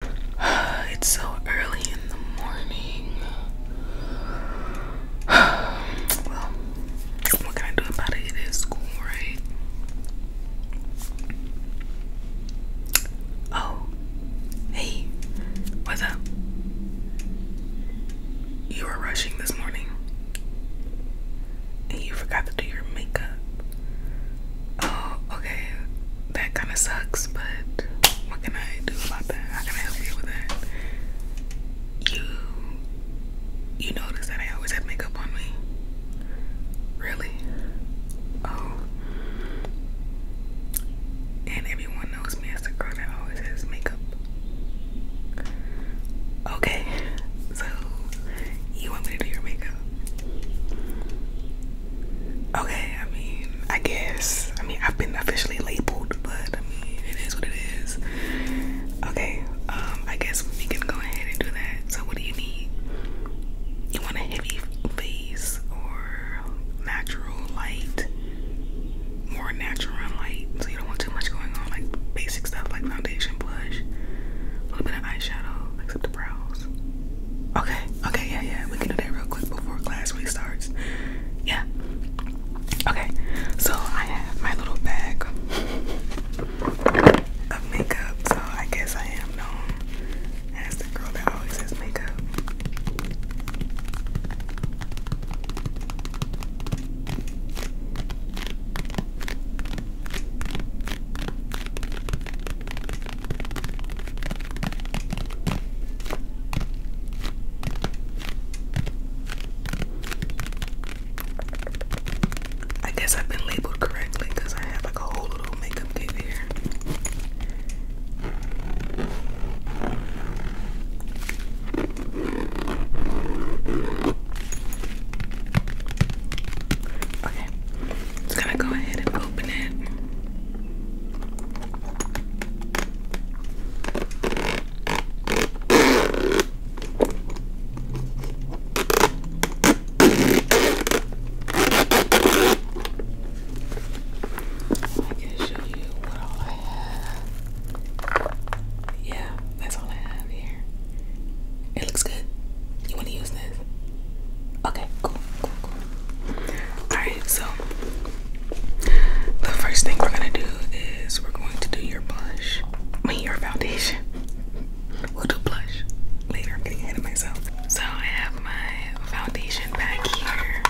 It's so early in the morning. Well, what can I do about it? It is school, right? Oh, hey, what's up? You were rushing this morning and you forgot to do your makeup. Oh, okay. That kind of sucks, but what can I do about that? How can I help you with that? You, you notice that I always have makeup on me. Really? Oh. And everyone knows me as the girl that always has makeup. Okay, so you want me to do your makeup? Okay, I mean, I guess. I mean, I've been officially labeled, but I mean, it is what it is. Okay, um, I guess we can go ahead and do that. So, what do you need? You want a heavy face or natural light? More natural light, so you don't want too much going on, like basic stuff like foundation, blush, a little bit of eyeshadow, except Okay, okay, yeah, yeah. We can do that real quick before class week starts. Yeah. Okay, so I have my little bag of makeup, so I guess I am known as the girl that always has makeup. I guess I've been labeled correctly because I have like a whole little makeup kit here. Okay, just gonna go ahead and open it. I can show you what I have. Yeah, that's all I have here. It looks good. You want to use this? Okay, cool, cool, cool. Alright, so the first thing we're gonna do is we're going to do your blush. I mean, your foundation. We'll do blush later. I'm getting ahead of myself. So I have my foundation back here.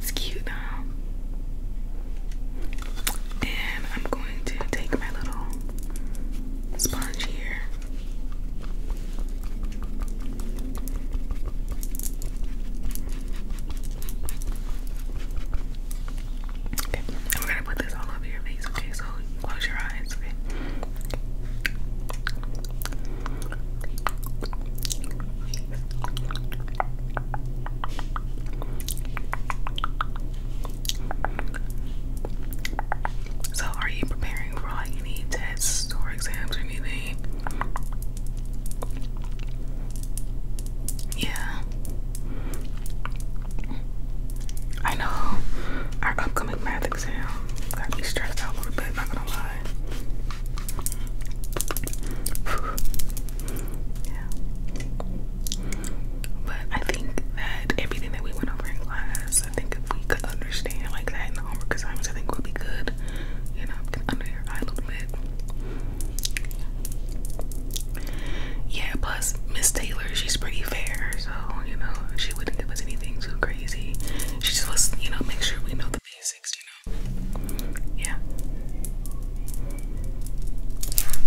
It's cute now. And I'm going to take my little sponge here. Okay, and we gonna put this all over your face, okay? So close your eyes, okay? So, are you preparing for like any tests or exams or anything? Yeah. I know our upcoming math exam. Got me stressed out a little bit, not gonna lie. But I think that everything that we went over in class, I think if we could understand like that in the homework assignments, I think we'll be good. You know, under your eye a little bit. Yeah, plus Miss Taylor, she's pretty fair, so you know, she wouldn't give us anything too crazy. She just wants, you know, make sure we know the basics, you know? Yeah.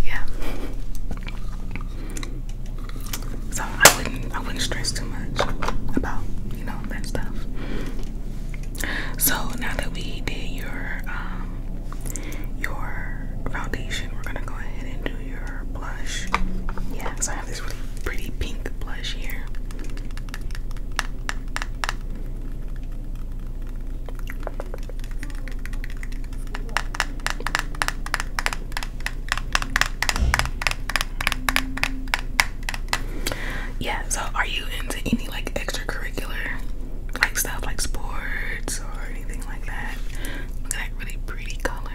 Yeah. So I wouldn't I wouldn't stress too much about, you know, that stuff. So now that we did your um your foundation, we're gonna go ahead and do your blush. Yeah, pretty pink blush here. Yeah, so are you into any like extracurricular like stuff like sports or anything like that? Look really pretty color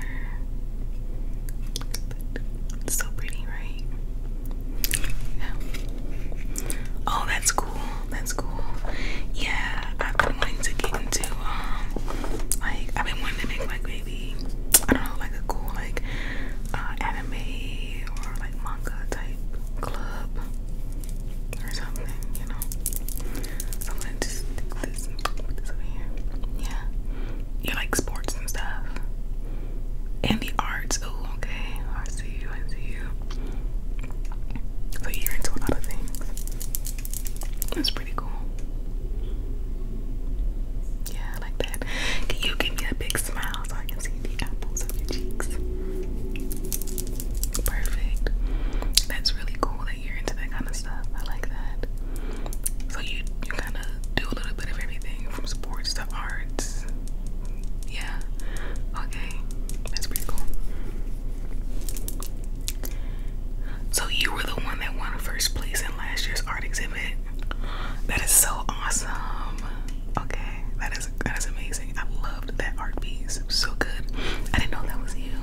so pretty, right? Yeah. Oh, that's cool. That's cool. Yeah, I've been wanting to get into um, like I've been wanting to make like maybe I don't know, like a cool like uh, anime or like manga type club or something, you know. I'm gonna just put this over here. Yeah you like sports and stuff. And the arts. Oh, okay. I see you. I see you. So you're into a lot of things. That's pretty cool. Yeah, I like that. Can you give me a big smile so I can see the apples of your cheeks? Perfect. That's really cool that you're into that kind of I like that. So you you kind of do a little bit of everything from sports to arts. Yeah. Okay. That's pretty cool. So you were the one that won first place in last year's art exhibit. That is so awesome. Okay, that is that is amazing. I loved that art piece. It was so good. I didn't know that was you.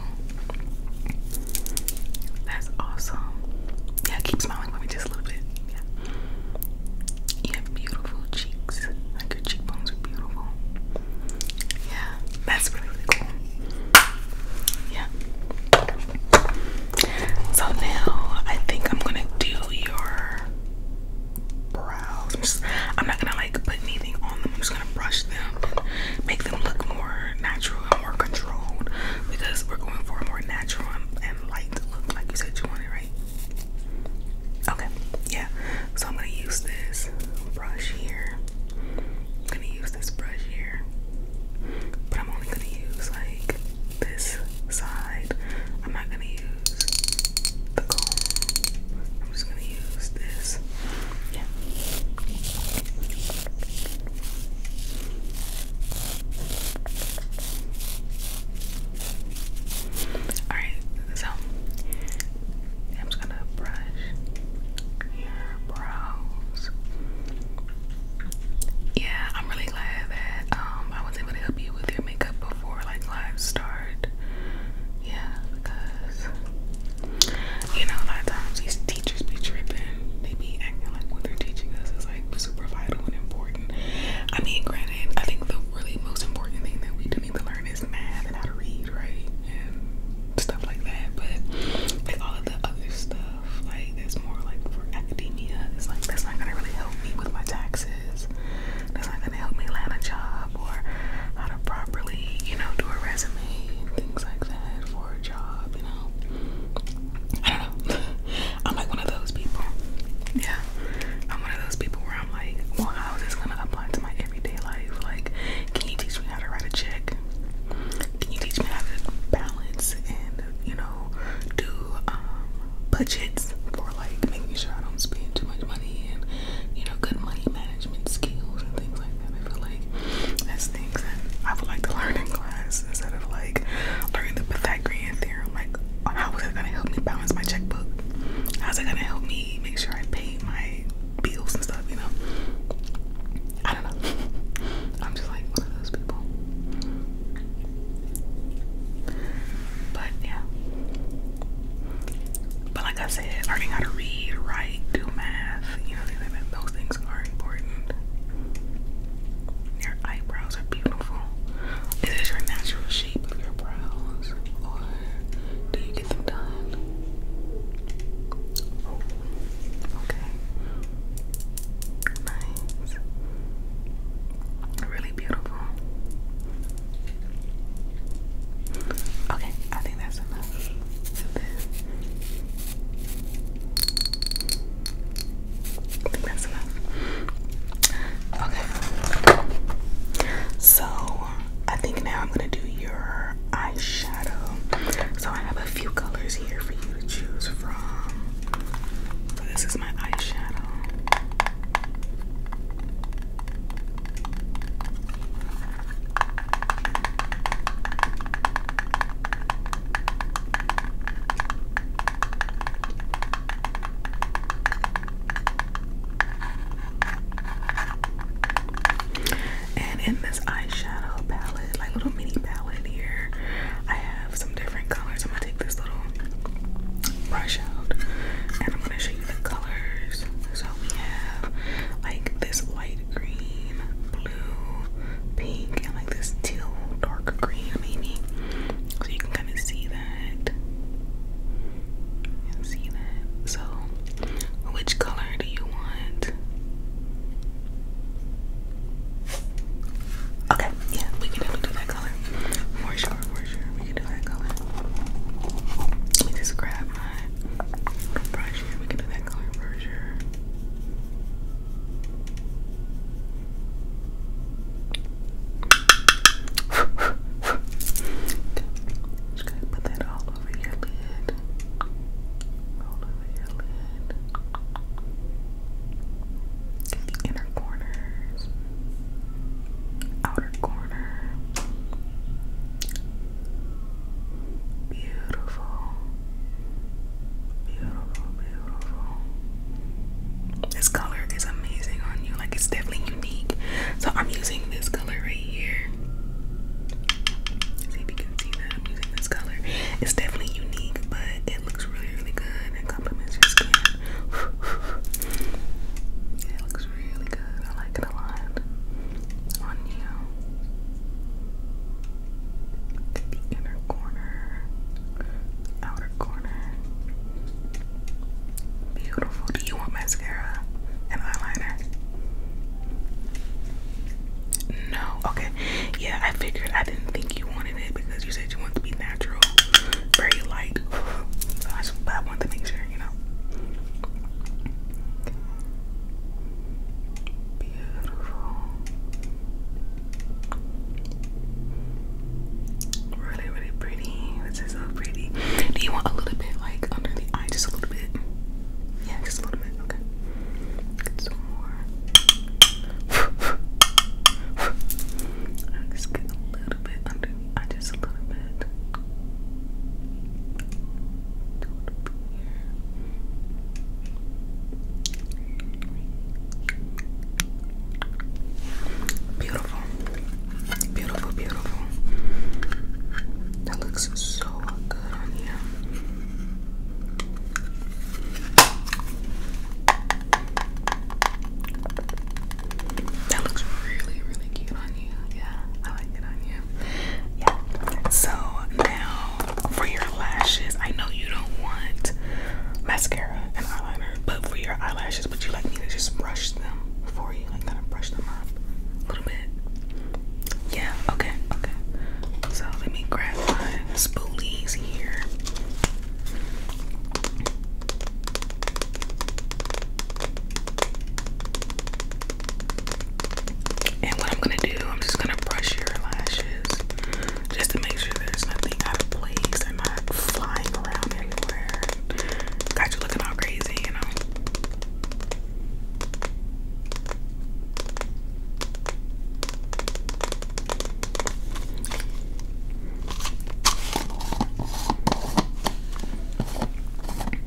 That's awesome. Yeah, keep smiling with me just a little bit. Yeah. beautiful cheeks. Like your cheekbones are beautiful. Yeah, that's really cool. Yeah. So now I think I'm gonna do your brows. I'm, just, I'm not gonna like put anything on them. I'm just gonna brush them make them look more natural and more controlled because we're going for a more natural and light look like you said you wanted, right? Okay, yeah. So I'm gonna use this brush here. I'm gonna use this brush here. But I'm only gonna use like this side. I'm not gonna use the comb. I'm just gonna use this. Yeah. Alright, so I'm just gonna brush your brows. Yeah, I'm really glad that um I was able to help you with your makeup before like live start. Yeah, because you know, a lot of times these teachers be tripping. They be acting like what they're teaching us is like super vital and important. I mean, granted, I think the really most important thing that we do need to learn is math and how to read, right? And stuff like that. But like all of the other stuff, like that's more like for academia, it's like that's not gonna really help me with my taxes. That's not gonna help me land a job or how to properly, you know, do a resume and things like that for job, you know. I don't know. I'm like one of those people. Yeah. I'm one of those people where I'm like, well, how is this gonna apply to my everyday life? Like, can you teach me how to write a check? Can you teach me how to balance and, you know, do um, budgets for like making sure I don't spend too much money and, you know, good money management skills and things like and I feel like that's things that I would like to learn in class instead of like learning the Pythagorean theorem. Like, how is it gonna help me balance my checkbook? How's it gonna help me make sure I pay my bills and stuff? You know, I don't know. I'm just like one of those people. But yeah. But like I said, learning how to read, write, do math, you know Those things are important. Your eyebrows are beautiful. Is this your natural shape of your brows, or do you get them done? Oh, okay. Nice. Really beautiful. Okay, I think that's enough. I think that's enough. Okay. So I think now I'm gonna do your eyeshadow. So I have a few colors here for you to choose from. So this is my eyeshadow. And in this eyeshadow palette, like little mini palette here, I have some different colors. I'm gonna take this little brush out and I'm gonna show you the colors. So we have like this white green, blue, pink, and like this teal dark green maybe. So you can kind of see that. see that. So which color do you want? Okay, yeah, we can definitely do that color. For sure, for sure. We can do that color. Let me just grab my brush here. We can do that color Just gonna put that all over your lid. All over your lid. inner corners, outer corner, Beautiful. Beautiful, beautiful. This color is amazing on you. Like it's definitely unique. So I'm using this color right here. See if you can see that I'm using this color. It's definitely unique, but it looks really, really good and complements your skin. it looks really good. I like it a lot on you inner corner, outer corner. Beautiful. Do you want mascara and eyeliner? No. Okay. Yeah, I figured I didn't think you wanted it because you said you wanted to be natural, very light. So I, just, I want to make sure, you know. Beautiful. Really, really pretty. This is so pretty. Do you want a little bit like under the eye? Just a little bit. Yeah, just a little bit. Okay. Get some more. i just get a little bit under the eye, just a little bit. Beautiful, beautiful, beautiful. That looks so good on you. That looks really, really cute on you. Yeah, I like it on you. Yeah. So now for your lashes, I know you don't want mascara and eyeliner, but for your eyelashes, would you like me to just brush them for you? Like kind of brush them off a little bit. Yeah, okay, okay. So let me grab my spoolies here. And what I'm gonna do, I'm just gonna brush your lashes just to make sure there's nothing out of place. They're not flying around everywhere. Got you looking all crazy, you know.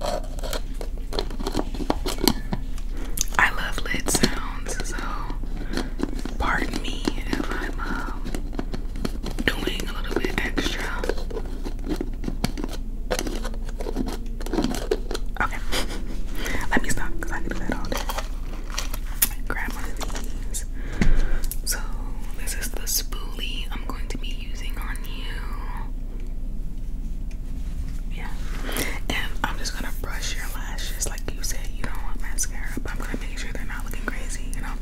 I love lid sounds, so pardon me if I'm um, doing a little bit extra. Okay, let me stop because I can do that all day. Grab one of these. So, this is the spoolie I'm going to be using on you. Yeah. And I'm just gonna brush your lashes like you said you don't want mascara, but I'm gonna make sure they're not looking crazy, you know?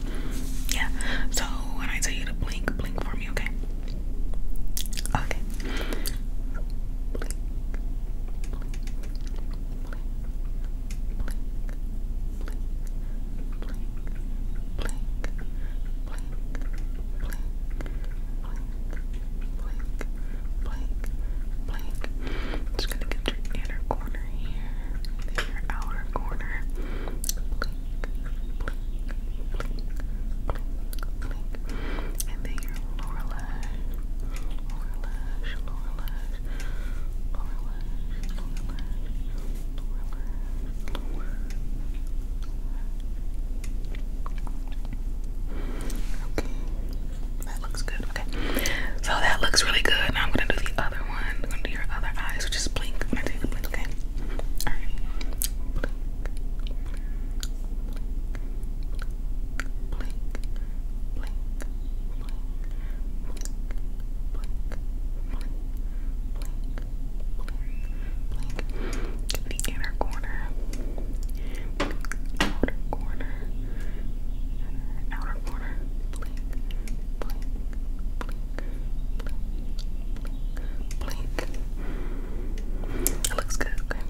Yeah. So when I tell you to blink, blink for me, okay? Okay. Blink. Blink. Blink. Blink. Blink. Blink blink, blink, blink. I'm just gonna get your inner corner here, your outer corner. Blink, blink, blink, blink, blink. And then your lower lash, lower lash, lower lash, lower lash, lower lash, lower Okay. That looks good. Okay. So that looks really good. Now I'm gonna do the other one. I'm gonna do your other eye. So just blink. I'm gonna take blink, okay? Alright. Blink. Blink. Blink. Blink. Blink. Blink. Blink. Blink inner corner, outer corner, outer corner, blink, blink, blink, blink, blink. It looks good, okay?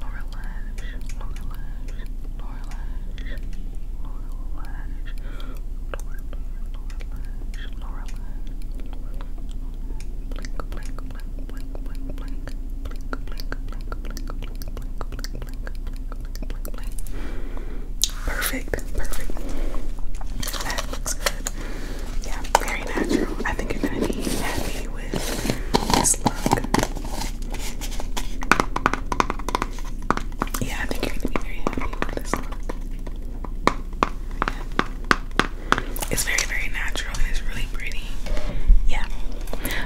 Lower lash, lower lash, lower lash, lower lash, lower, lash, lower lash, Perfect, perfect. That looks good. Yeah, very natural. I think you're gonna be happy with this look. Yeah, I think you're gonna be very happy with this look. It's very, very natural and it's really pretty. Yeah.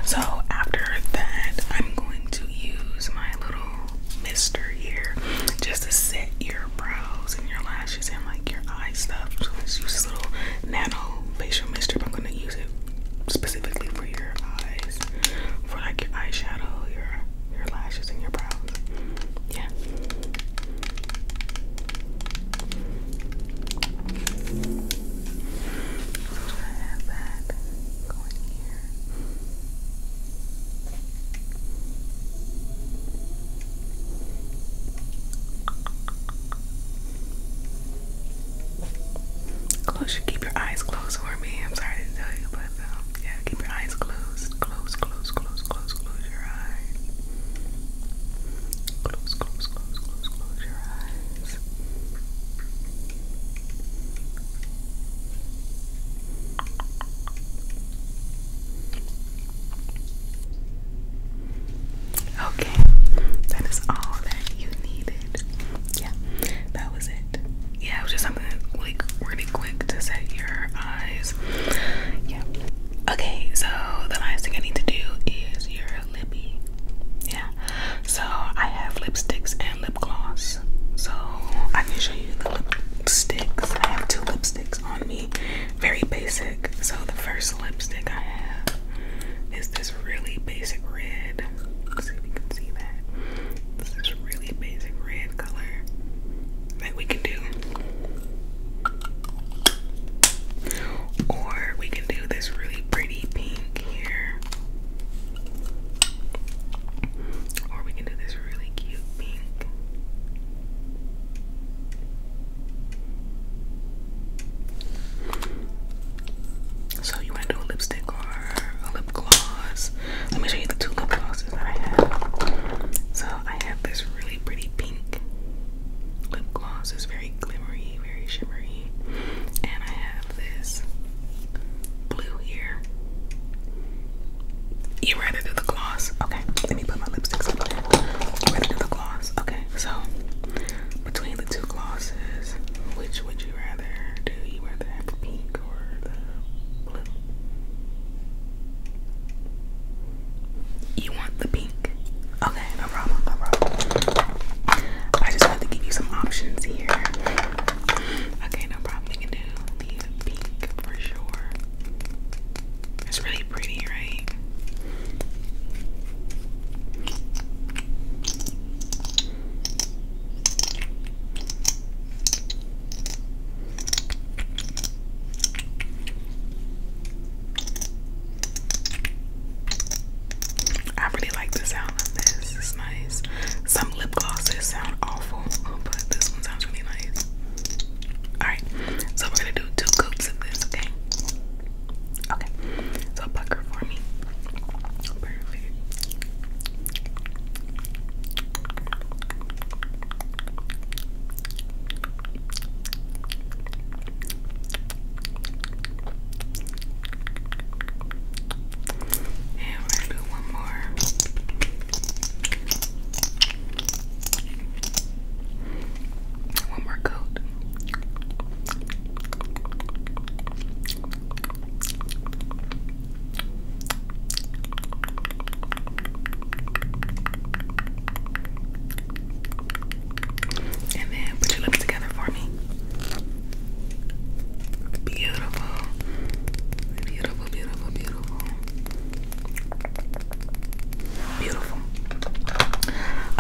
So after that, I'm going to use my little mister here just to set your brows and your lashes and like your eye stuff. So let's use this little nano facial mister, I'm gonna use it specifically for your eyes, for like your eyeshadow, your your lashes and your brows. Yeah. Close keep your eyes closed for me. I'm sorry to tell you, but um, yeah, keep your eyes closed. Close, close, close, close, close close your eyes. close, close, close, close your eyes. Okay, that is all that you needed. Yeah, that was it. Yeah, it was just something like really quick to set your eyes. Yeah, Okay, so the last thing I need to do is your lippy. Yeah. So I have lipsticks and lip gloss. So I can show you the lipsticks. I have two lipsticks on me. Very basic. So the first lipstick I have is this really basic red. Let's see if you can see that. This is really basic red color that we can do. Or we can do this really pretty pink here. Or we can do this really cute pink. So you want to do a lipstick or a lip gloss? Let me show you the two lip glosses I have. So I have this really pretty pink lip gloss. It's very glimmery, very shimmery. And I have this blue here. You rather do the gloss? Okay, let me put my lipsticks on. You rather do the gloss? Okay, so between the two glosses, which would you rather do? You rather have the pink or the blue? You want the pink? Okay, no problem, I just wanted to give you some options here. Okay, no problem. We can do the pink for sure. It's really pretty, right? I really like the sound of this. It's nice. Some lip glosses sound awful, but this one sounds really nice. Alright, so we're gonna do two coats of this, okay? Okay, so pucker for me. Perfect. And we're gonna do one more. One more coat. And then put your lips together for me. Beautiful. Beautiful, beautiful, beautiful. Beautiful.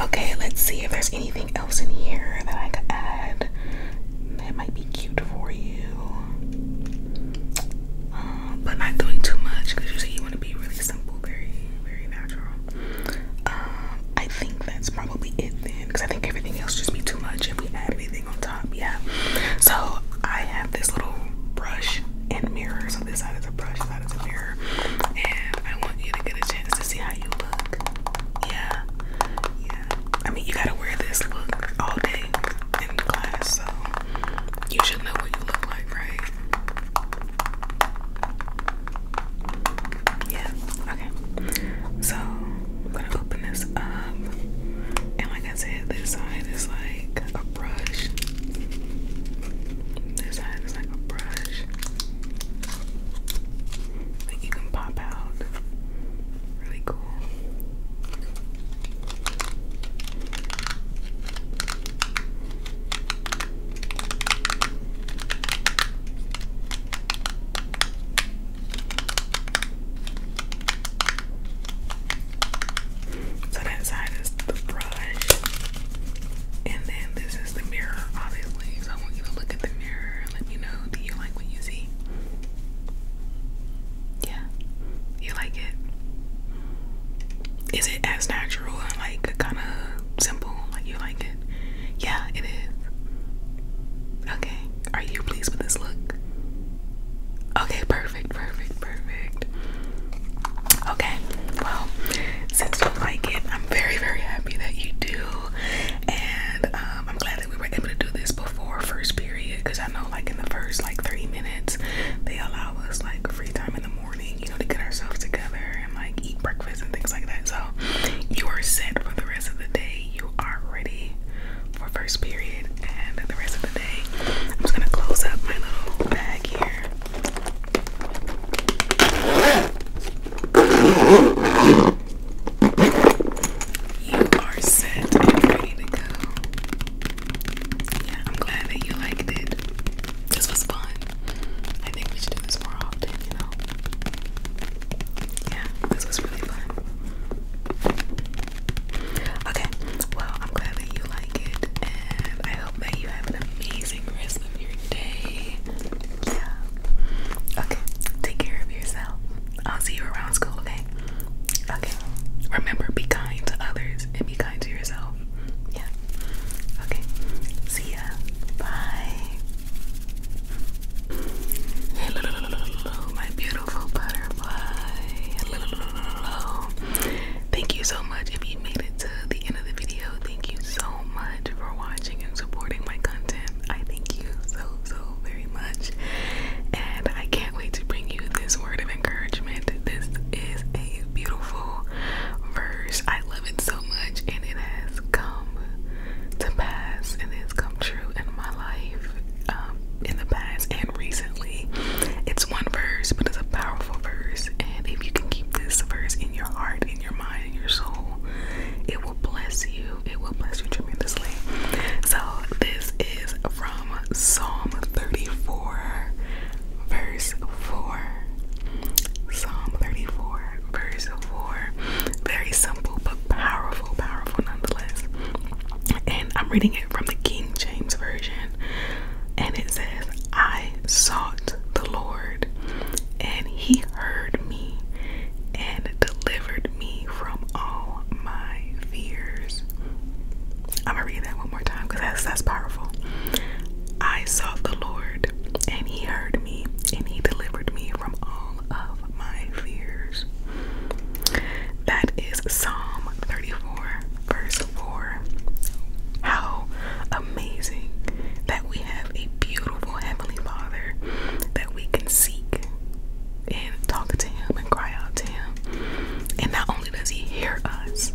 Okay, let's see if there's anything else in here that I could add that might be cute for you. Um, but not doing too much because usually you want to be really simple, very, very natural. Um, I think that's probably it then because I think everything else just be too much if we add anything on top. Yeah. So I have this little brush and mirror. So this side is a brush, side is a mirror, and I want you to get a chance to see how you look. Yeah. Yeah. I mean, you gotta wear this look all day in class, so you should know what you look like, right? Yeah, okay. So I'm gonna open this up, and like I said, this side is like a brush. This side is like a brush that you can pop out. Really cool. So that side is the brush, and then this is the mirror, obviously. So I want you to look at the mirror and let me know do you like what you see? Yeah, you like it? Is it as natural and like kind of simple? Like you like it? Yeah, it is. Okay. Are you pleased with this look? Okay, perfect, perfect, perfect. Okay, well, since you like it, I'm very, very happy that you do. And um, I'm glad that we were able to do this before first period because I know, like, in the first like three minutes, they allow allow like free time in the morning, you know, to get ourselves together and like eat breakfast and things like that. So you are set for the rest of the day. You are ready for first period and the rest of the day. I'm just gonna close up my little bag here. You are set and ready to go yeah, I'm glad that you liked it. This was fun. I think we should do this more often, you know? Yeah, this was really fun. Okay, well, I'm glad that you like it, and I hope that you have an amazing rest of your day. Yeah. Okay, take care of yourself. I'll see you around school, today. Okay. Remember, be kind to others and be kind to yourself. Yeah. Okay. See ya. Bye. my beautiful butterfly. Thank you so much. If you made it to the end of the video, thank you so much for watching and supporting my content. I thank you so, so very much. And I can't can to bring you this word of encouragement. This is a beautiful verse. I love it so much, and it has come to pass and it's come true in my life um, in the past and recently. It's one verse, but it's a powerful verse. And if you can keep this verse in your heart, in your mind, in your soul, it will bless you. It will bless you tremendously. So, this is from Psalm 34, verse 4. Psalm 34, verse 4. Very simple but powerful, powerful nonetheless. And I'm reading it from the King James Version. And it says, I sought the Lord, and he heard me and delivered me from all my fears. I'm gonna read that one more time because that's that's powerful. I sought the Lord, and He heard me, and He delivered me from all of my fears. That is Psalm 34, verse 4. How amazing that we have a beautiful Heavenly Father that we can seek and talk to Him and cry out to Him. And not only does he hear us,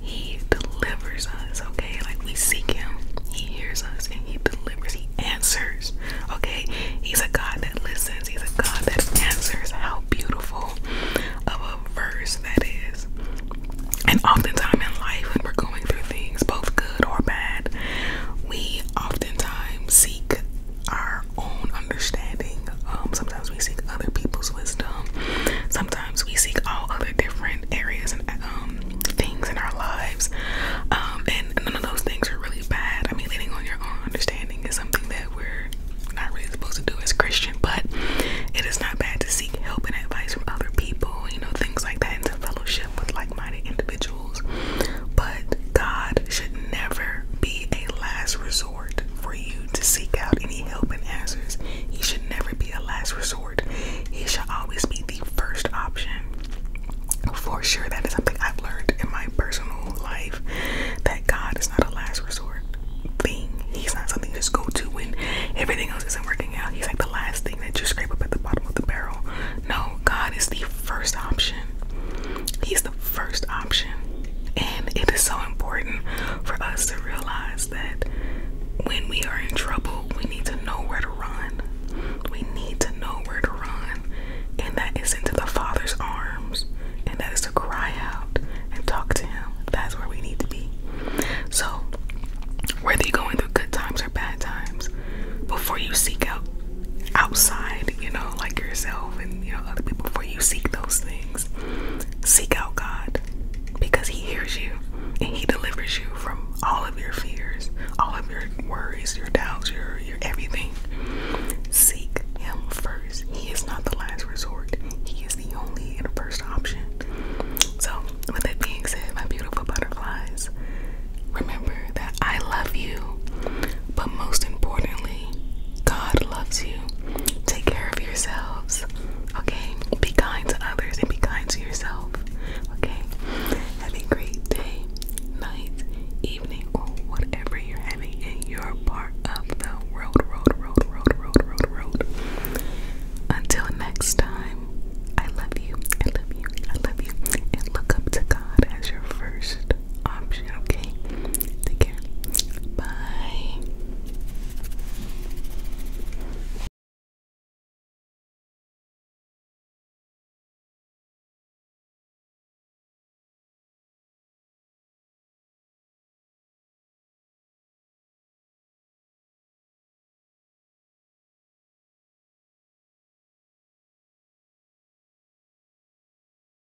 he delivers us, okay? Like we seek him, he hears us and he delivers, he answers, okay? He's a God that listens, he's a God that answers. How beautiful of a verse that is. And oftentimes in life, when we're going through things, both good or bad, we oftentimes seek our own understanding. Um, sometimes we seek other people's wisdom. Sometimes we seek all other different areas and um, things in our lives. Um, and none of those things are really bad. I mean, leaning on your own understanding is something that we're not really supposed to do as Christian, but it is not bad to seek help and advice from other people, you know, things like that, and fellowship with like minded individuals. But God should never be a last resort for you to seek out any help and answers. He should never be a last resort. He should always be the first option. For sure, that is something I've learned in my personal life that God is not a last resort thing. He's not something you just go to when everything else isn't working out. He's like the last thing that you scrape up at the bottom of the barrel. No, God is the first option. He's the first option. And it is so important for us to realize that when we are in trouble, we need to know where to run. We need to know where to run. And that is into the Father's arms. And that is to cry out and talk to Him. That's where we need to be. So, whether you're going through good times or bad times, before you seek out outside, you know, like yourself and, you know, other people, before you seek those things Seek out God because He hears you and He delivers you from all of your fears, all of your worries, your doubts, your, your everything. Seek Him first. He is not the last resort, He is the only and first option. So, with that being said, my beautiful butterflies, remember that I love you, but most importantly, God loves you. Take care of yourselves. Okay? Be kind to others and be kind to yourself. Okay? Have a great day, night, evening, or whatever you're having in your part of the world, road, road, road, road, road, road. Until next time, I love you. I love you. I love you. And look up to God as your first option, okay? Take care. Bye.